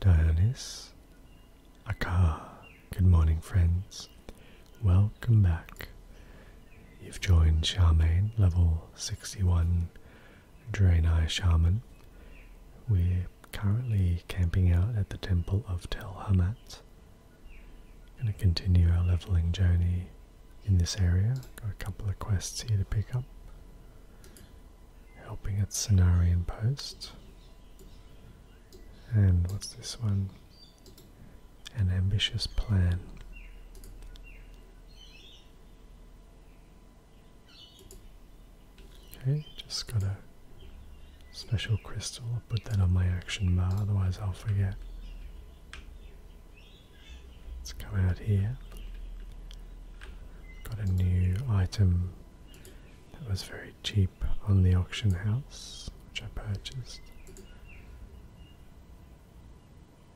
Dionys, Aka, good morning, friends. Welcome back. You've joined Charmaine, level 61 Draenei Shaman. We're currently camping out at the Temple of Tel Hamat. Going to continue our leveling journey in this area. Got a couple of quests here to pick up helping its Cenarian post. And what's this one? An ambitious plan. Okay, just got a special crystal. I'll put that on my action bar, otherwise I'll forget. Let's come out here. Got a new item that was very cheap on the auction house, which I purchased.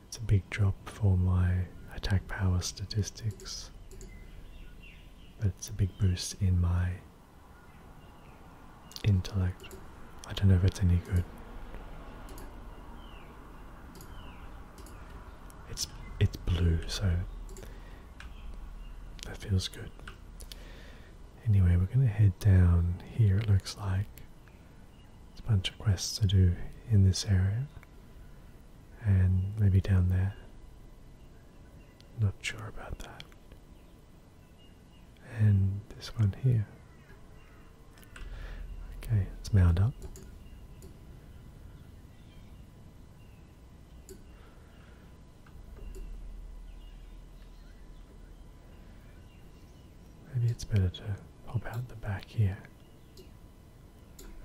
It's a big drop for my attack power statistics, but it's a big boost in my intellect. I don't know if it's any good. It's it's blue, so that feels good. Anyway, we're going to head down here, it looks like. There's a bunch of quests to do in this area. And maybe down there. Not sure about that. And this one here. Okay, it's us up. Maybe it's better to pop out the back here.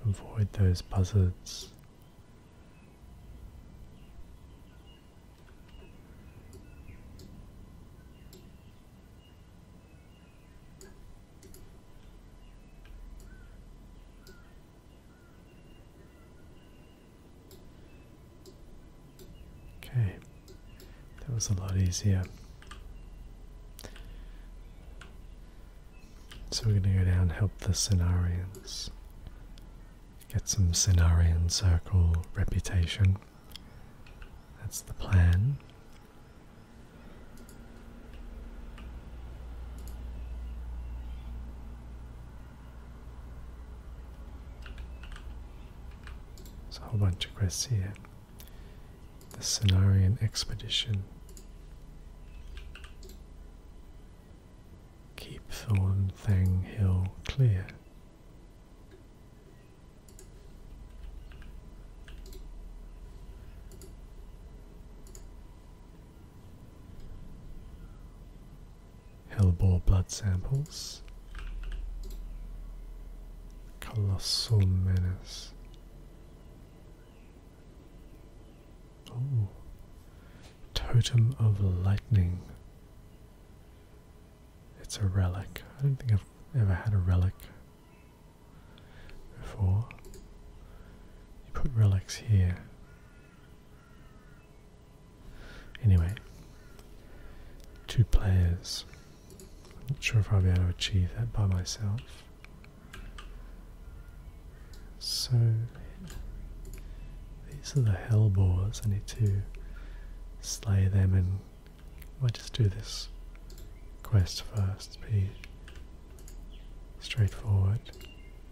Avoid those buzzards. Okay, that was a lot easier. So we're going to go down help the Cenarians. Get some Cenarian Circle reputation. That's the plan. There's a whole bunch of quests here. The Cenarian Expedition. Keep Thorn Thang Hill clear. Hellbore blood samples. Colossal menace. Oh. Totem of lightning. It's a relic. I don't think I've ever had a relic before. You put relics here. Anyway, two players. I'm not sure if I'll be able to achieve that by myself. So, these are the hellbores. I need to slay them and I might just do this quest first. Be straightforward.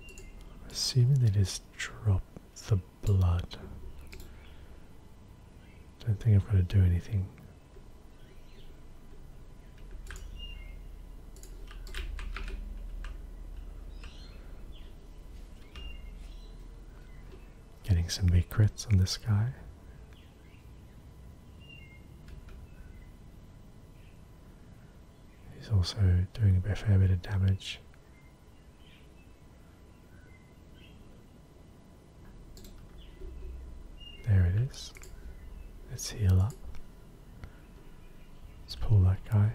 I'm assuming they just drop the blood. Don't think I've got to do anything. Getting some big crits on this guy. He's also doing a fair bit of damage. There it is. Let's heal up. Let's pull that guy.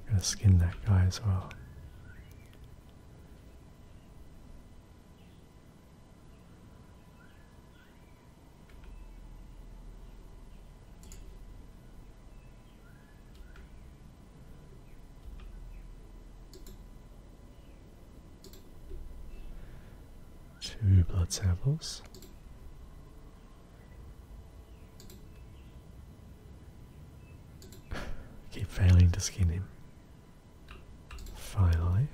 I'm gonna skin that guy as well. Two blood samples. Keep failing to skin him. Finally.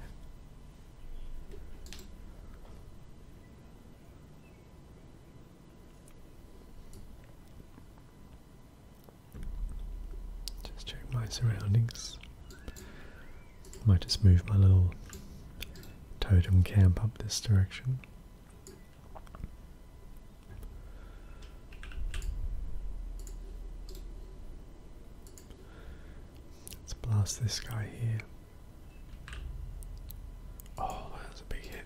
Just check my surroundings. I might just move my little totem camp up this direction. Let's blast this guy here. Oh, that's a big hit.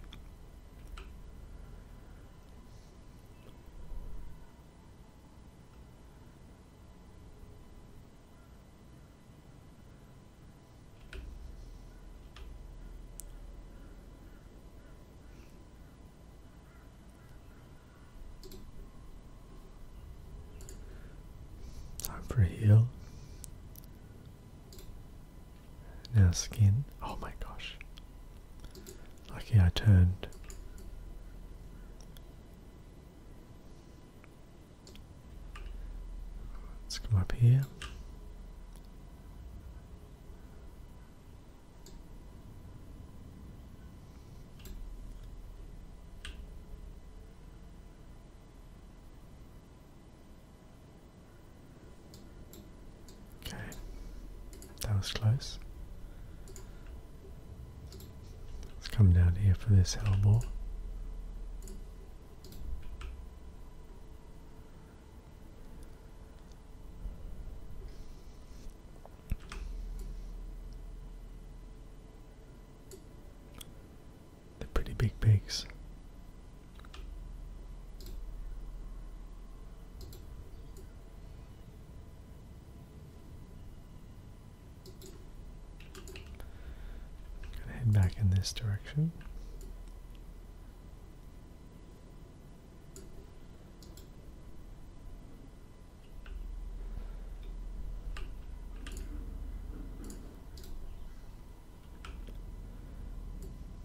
Time for heal. Now skin. Oh my gosh. Lucky I turned Let's come up here. Okay, that was close. Let's come down here for this elbow. They're pretty big pigs. Gonna head back in this direction.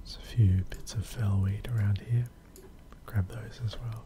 There's a few bits of fellweed around here. Grab those as well.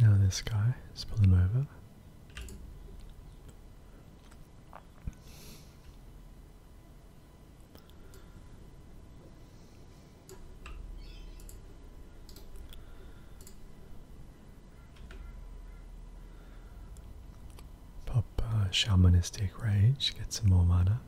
Now this guy, let's pull him over. Pop uh, Shamanistic Rage, get some more mana.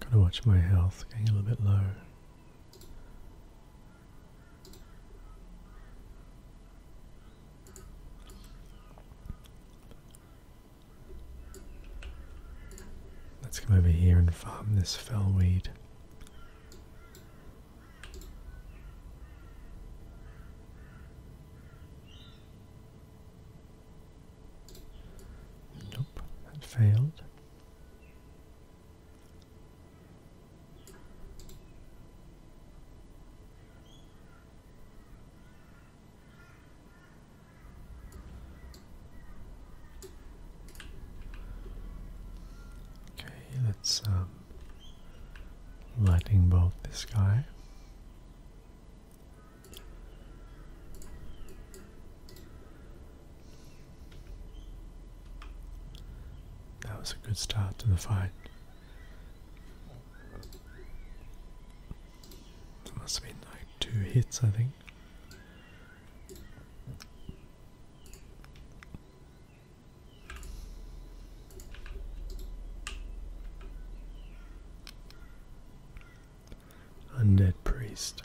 Gotta watch my health, getting a little bit low. Let's come over here and farm this fellweed. Nope, failed. Okay, let's um, lightning bolt this guy. That was a good start to the fight. That must have been like two hits, I think. Undead priest.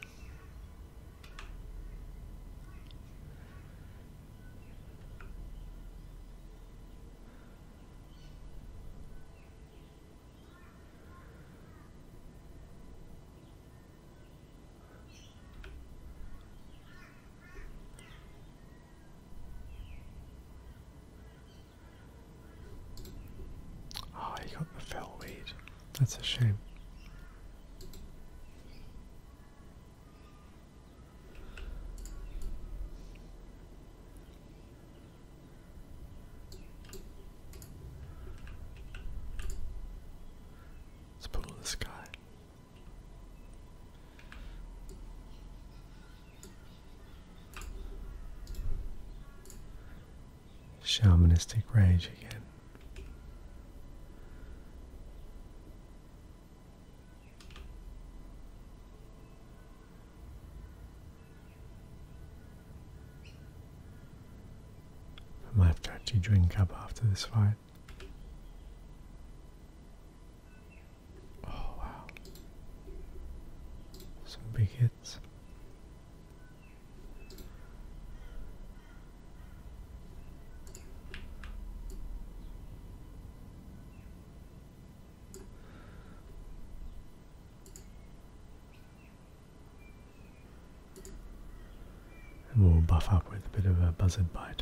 Oh, he got the fellweed. That's a shame. Let's put on the Shamanistic rage again. I might have to drink up after this fight. Oh wow. Some big hits. And we'll buff up with a bit of a buzzard bite.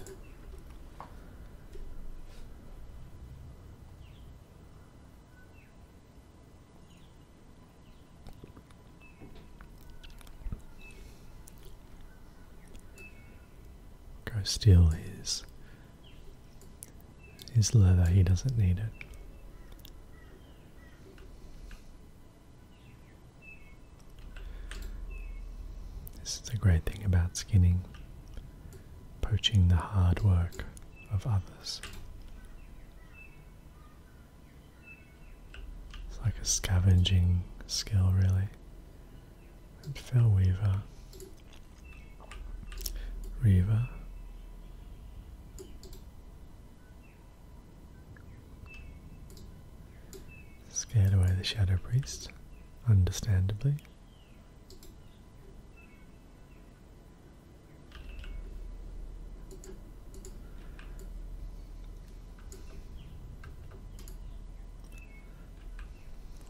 Go steal his his leather, he doesn't need it. This is a great thing about skinning, poaching the hard work of others. It's like a scavenging skill, really. And Fellweaver Riva. Scared away the Shadow Priest, understandably.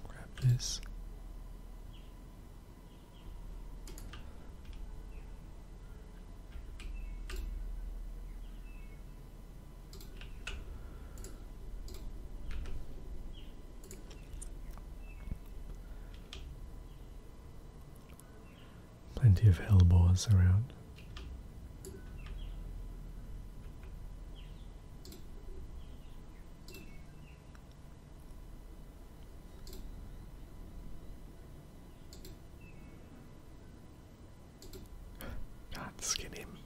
Grab this. Plenty of hellbores around. Not skin him.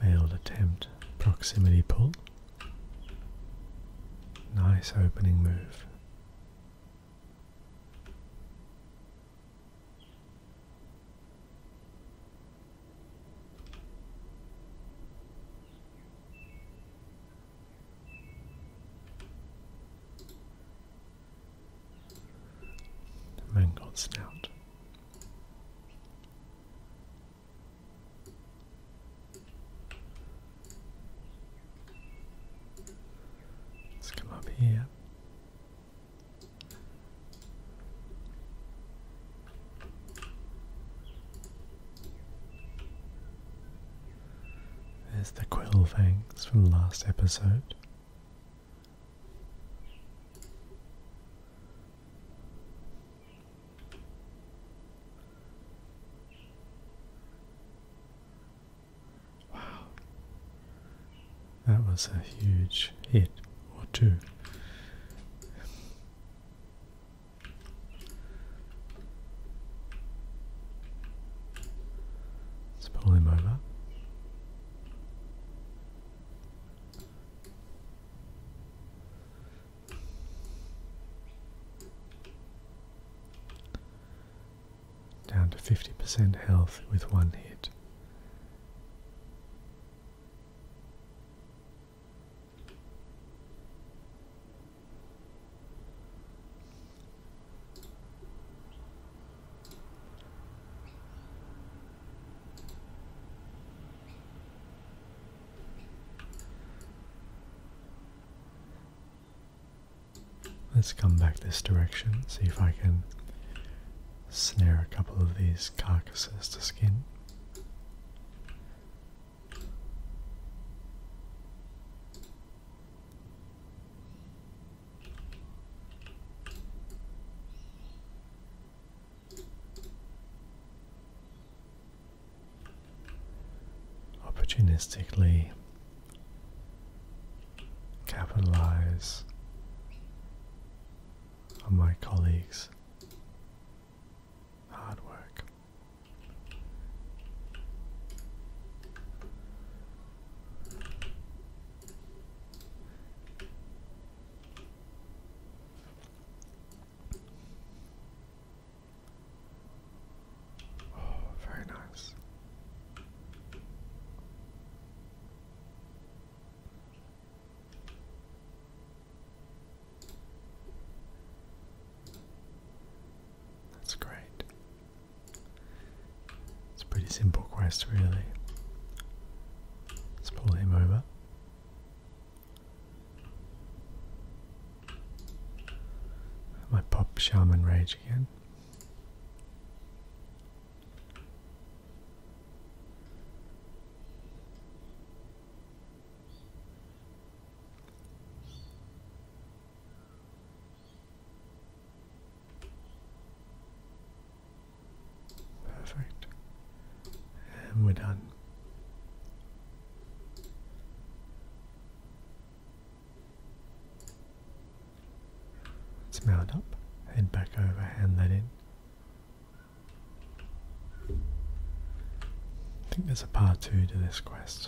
Failed attempt. Proximity pull. Nice opening move. Mangold snout. Let's come up here. There's the quill fangs from last episode. Wow. That was a huge hit or two. Let's pull him over. Down to 50% health with one hit. Let's come back this direction, see if I can snare a couple of these carcasses to skin opportunistically capitalize on my colleagues' Hard work. Oh, very nice. That's great. It's a pretty simple quest, really. Let's pull him over. My pop Shaman Rage again. Perfect. And we're done. Let's mount up, head back over, hand that in. I think there's a part two to this quest,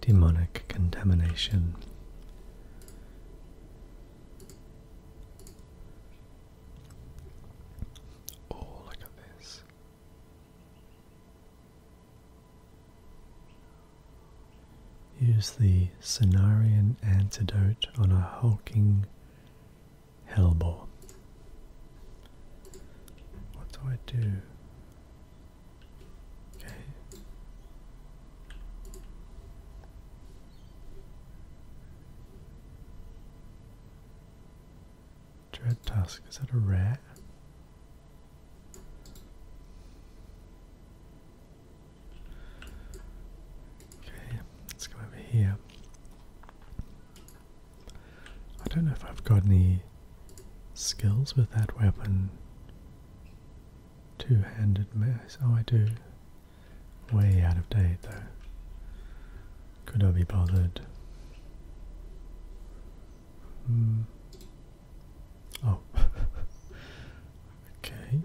demonic contamination. Oh, look at this. Use the Cenarian antidote on a hulking hellbore. What do I do? Okay. Dread Tusk, is that a rat? Okay, let's go over here. I don't know if I've got any skills with that weapon. Two handed mace. Oh, I do. Way out of date, though. Could I be bothered? Hmm. Oh. okay.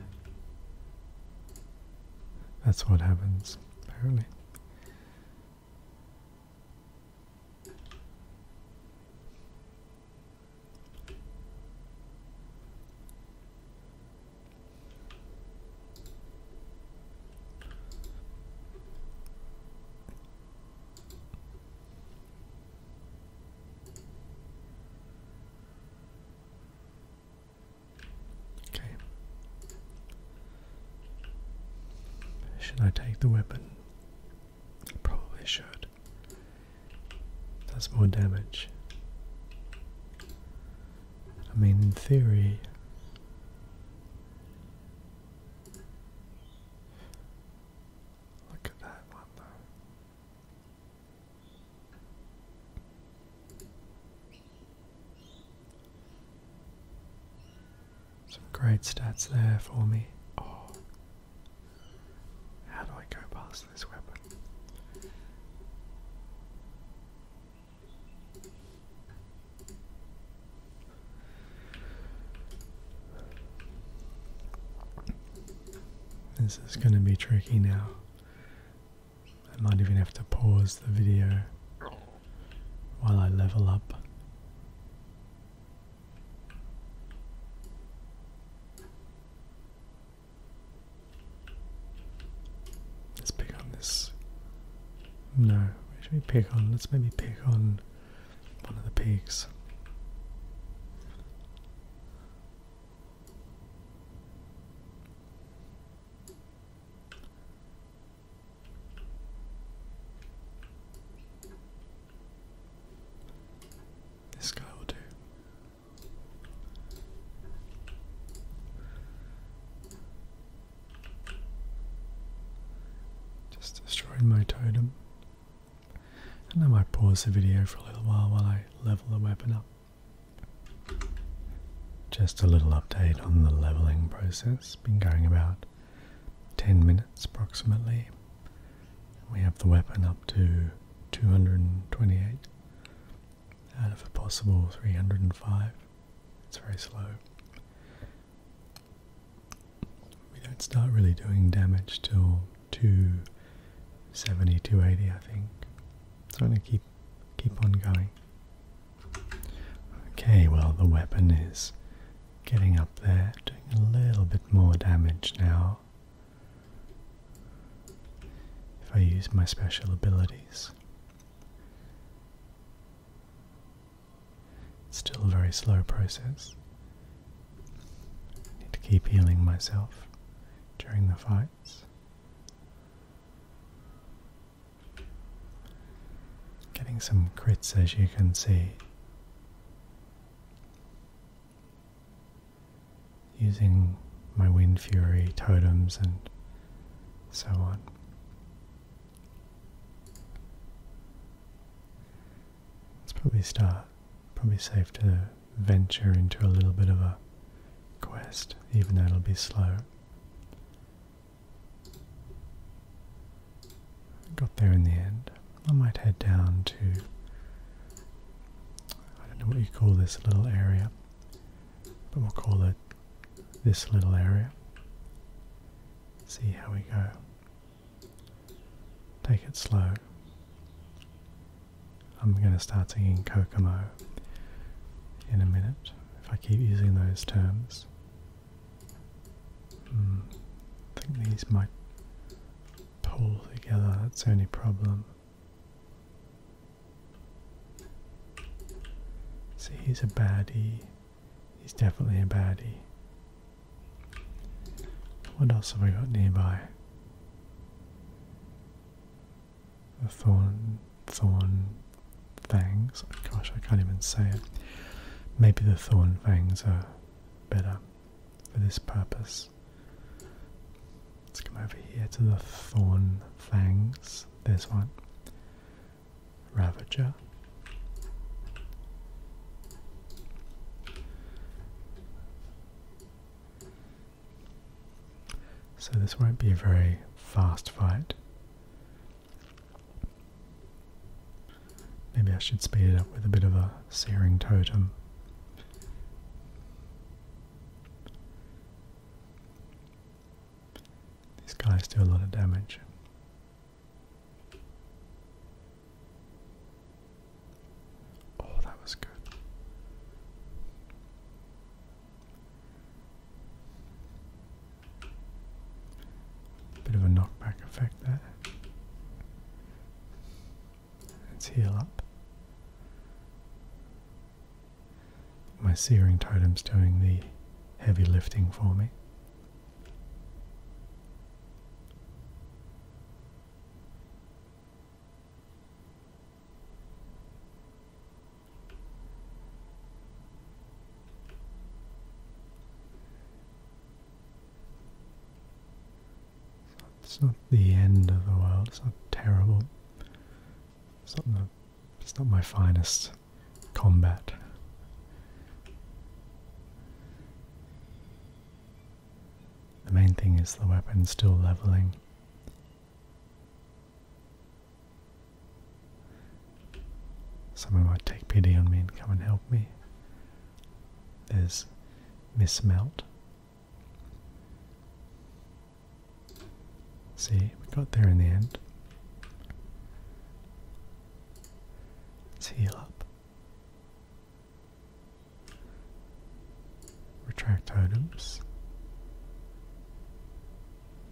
That's what happens, apparently. Okay. Should I take the weapon? Probably should. Does more damage. I mean, in theory. Look at that one, though. Some great stats there for me. Oh. How do I go past this weapon? This is going to be tricky now. I might even have to pause the video while I level up. Let's pick on this. No, should we pick on? Let's maybe pick on one of the pigs. This guy will do. Just destroyed my totem. And I might pause the video for a little while while I level the weapon up. Just a little update on the leveling process. Been going about 10 minutes approximately. We have the weapon up to 228 and if possible 305. It's very slow. We don't start really doing damage till 270, 280 I think. So I'm going to keep, keep on going. Okay, well the weapon is Getting up there, doing a little bit more damage now. If I use my special abilities. still a very slow process. I need to keep healing myself during the fights. Getting some crits as you can see using my wind fury totems and so on. Let's probably start. Probably safe to venture into a little bit of a quest, even though it'll be slow. Got there in the end. I might head down to. I don't know what you call this little area, but we'll call it this little area. See how we go. Take it slow. I'm going to start singing Kokomo in a minute if I keep using those terms. Hmm, I think these might pull together, that's the only problem. See, he's a baddie. He's definitely a baddie. What else have we got nearby? The thorn, thorn fangs. Gosh, I can't even say it. Maybe the thorn fangs are better for this purpose. Let's come over here to the Thorn Fangs. There's one. Ravager. So this won't be a very fast fight. Maybe I should speed it up with a bit of a searing totem. These guys do a lot of damage. Oh, that was good. Bit of a knockback effect there. Let's heal up. My searing totem's doing the heavy lifting for me. It's not, the end of the world, it's not terrible. It's not, it's not my finest combat. The main thing is the weapon's still leveling. Someone might take pity on me and come and help me. There's Miss Melt. See, we got there in the end. let heal up. Retract totems.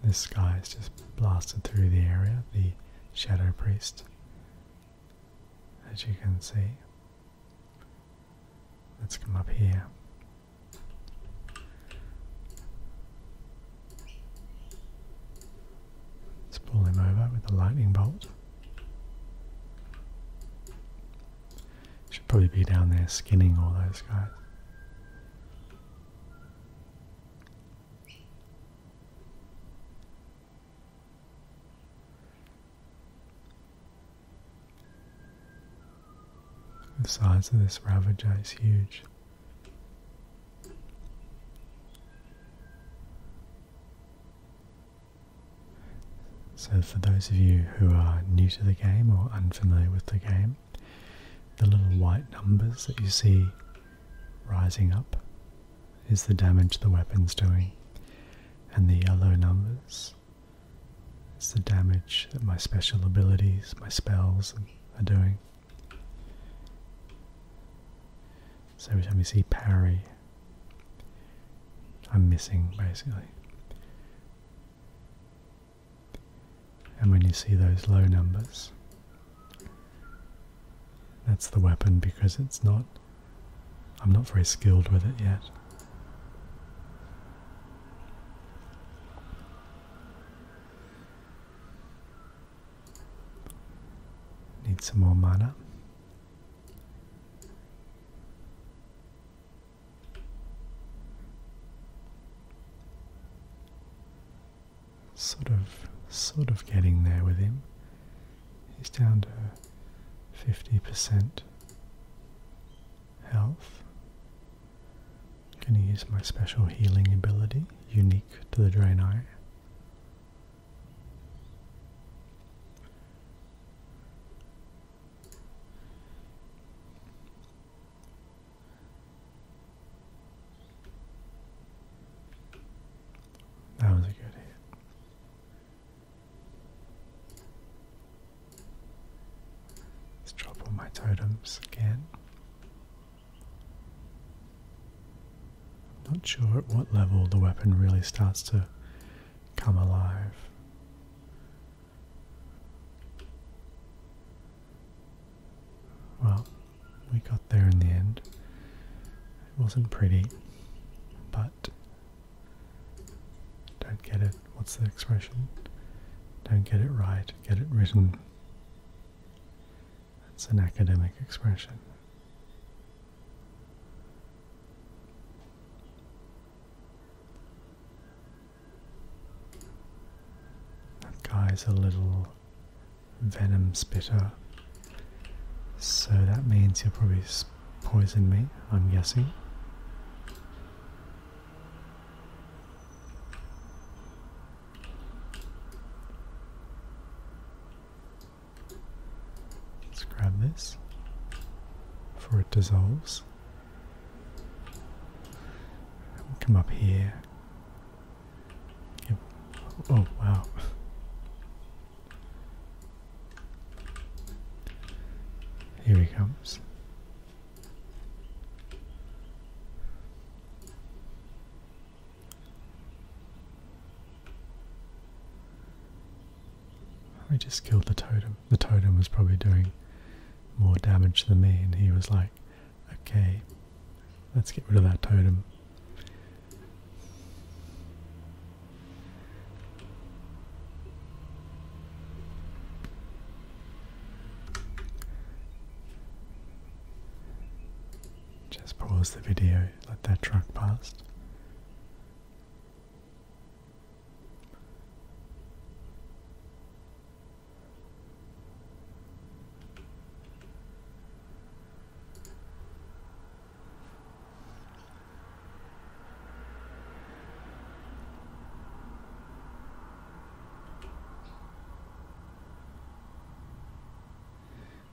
This guy's just blasted through the area, the Shadow Priest as you can see. Let's come up here. Let's pull him over with the lightning bolt. Should probably be down there skinning all those guys. The size of this ravager is huge. So, for those of you who are new to the game or unfamiliar with the game, the little white numbers that you see rising up is the damage the weapon's doing, and the yellow numbers is the damage that my special abilities, my spells, are doing. So every time you see parry, I'm missing basically. And when you see those low numbers, that's the weapon because it's not I'm not very skilled with it yet. Need some more mana. Sort of, sort of getting there with him. He's down to 50% health. Can you use my special healing ability, unique to the Draenei? That was a good hit. Let's drop all my totems again. I'm not sure at what level the weapon really starts to come alive. Well, we got there in the end. It wasn't pretty, but don't get it. What's the expression? Don't get it right, get it written. That's an academic expression. That guy's a little venom spitter. So that means you will probably poison me, I'm guessing. Let's grab this before it dissolves. come up here. Oh, wow. Here he comes. I just killed the totem. The totem was probably doing more damage than me, and he was like, okay, let's get rid of that totem. Just pause the video, let that truck pass.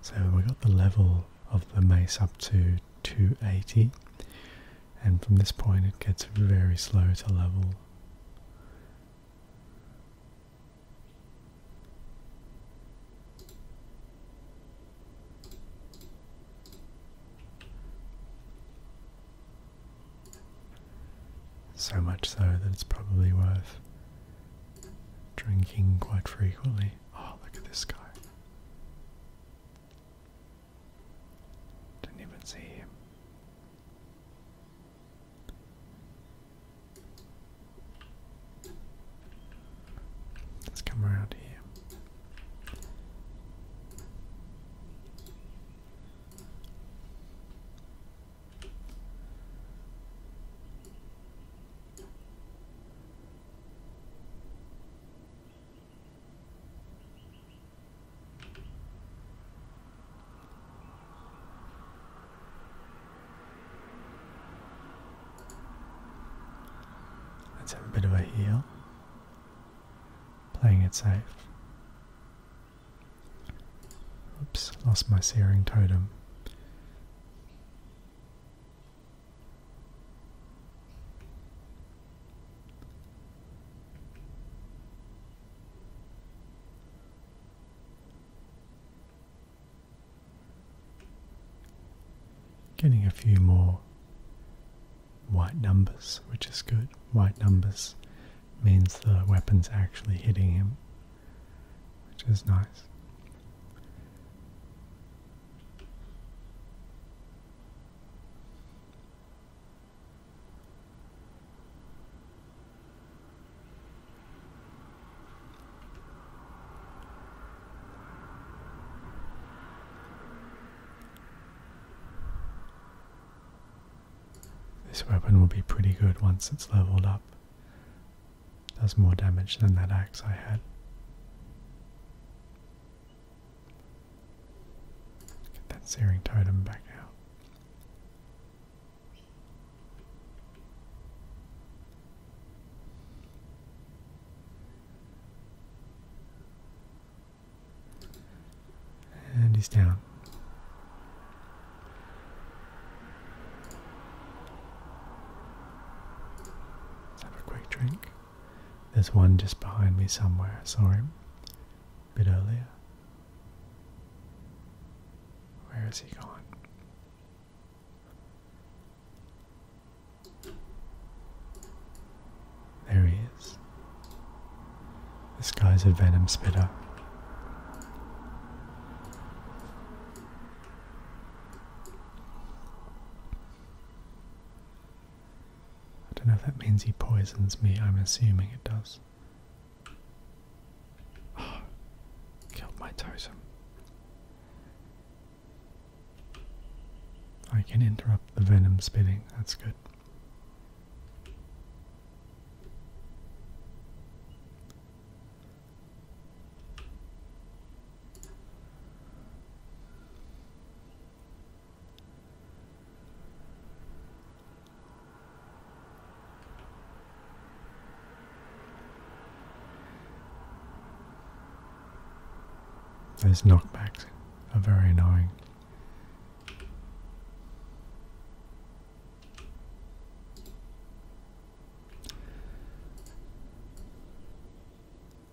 So we got the level of the mace up to 280 and from this point it gets very slow to level. So much so that it's probably worth drinking quite frequently. Oh, look at this guy. Didn't even see him. Let's come around here. Let's have a bit of a heal. Playing it safe. Oops, lost my searing totem getting a few more white numbers, which is good. White numbers means the weapon's actually hitting him, which is nice. This weapon will be pretty good once it's leveled up. Does more damage than that axe I had. Get that searing totem back out. And he's down. Let's have a quick drink. There's one just behind me somewhere. I saw him a bit earlier. Where has he gone? There he is. This guy's a venom spitter. I don't know if that means he poisons me, I'm assuming it does. killed my totem. I can interrupt the venom spitting, that's good. There's knockbacks are very annoying.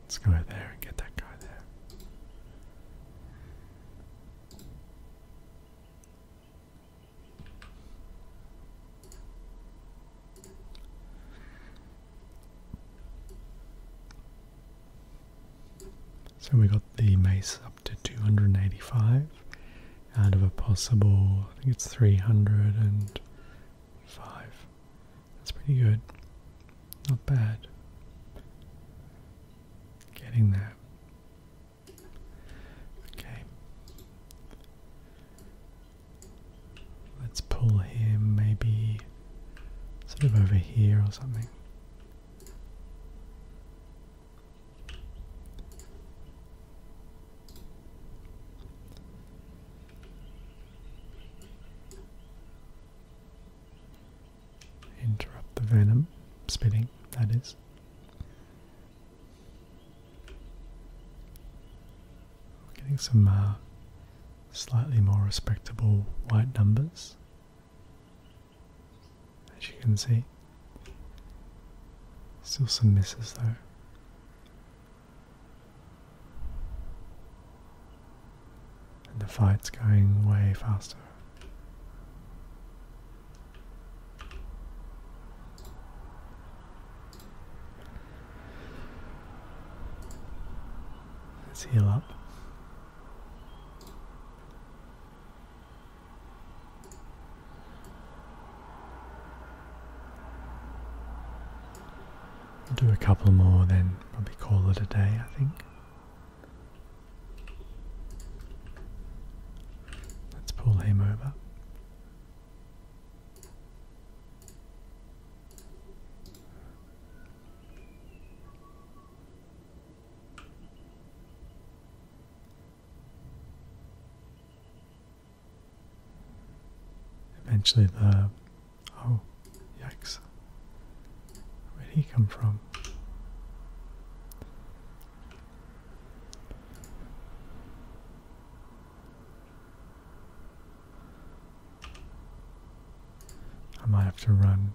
Let's go there and get that guy there. So we got the mace up to 285 out of a possible, I think it's 305. That's pretty good. Not bad. Getting there. Okay. Let's pull him maybe Sort of over here or something. Interrupt the venom spitting, that is. Getting some uh, slightly more respectable white numbers, as you can see. Still some misses though. And the fight's going way faster. Let's heal up. I'll do a couple more, then probably call it a day, I think. Let's pull him over. Eventually the oh yikes. Where'd he come from? I might have to run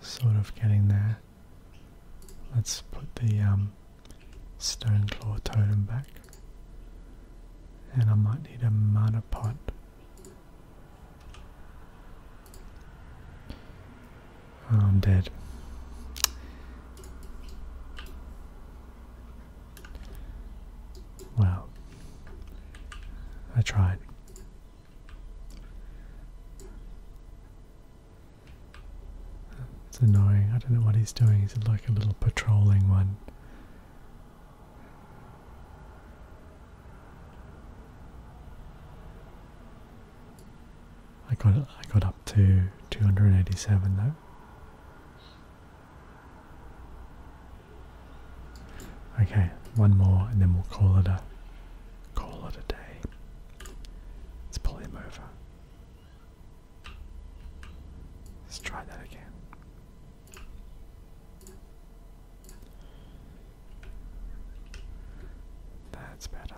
sort of getting there. Let's put the um, stone claw totem back. And I might need a mana pot. Oh, I'm dead. Well, I tried. It's annoying. I don't know what he's doing. He's like a little patrolling one. I got I got up to 287 though. Okay, one more and then we'll call it a Call it a day. Let's pull him over. Let's try that again. That's better.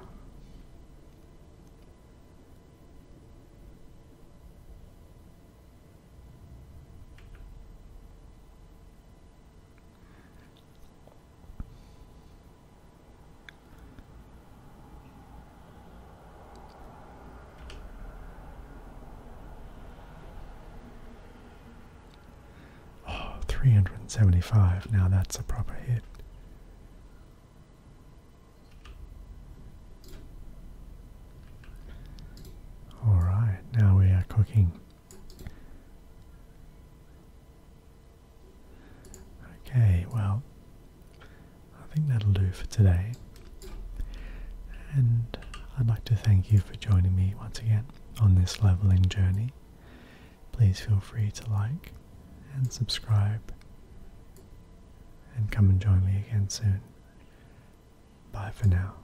Oh, 375. Now that's a proper hit. All right, now we are cooking Okay, well, I think that'll do for today. And I'd like to thank you for joining me once again on this leveling journey. Please feel free to like and subscribe and come and join me again soon. Bye for now.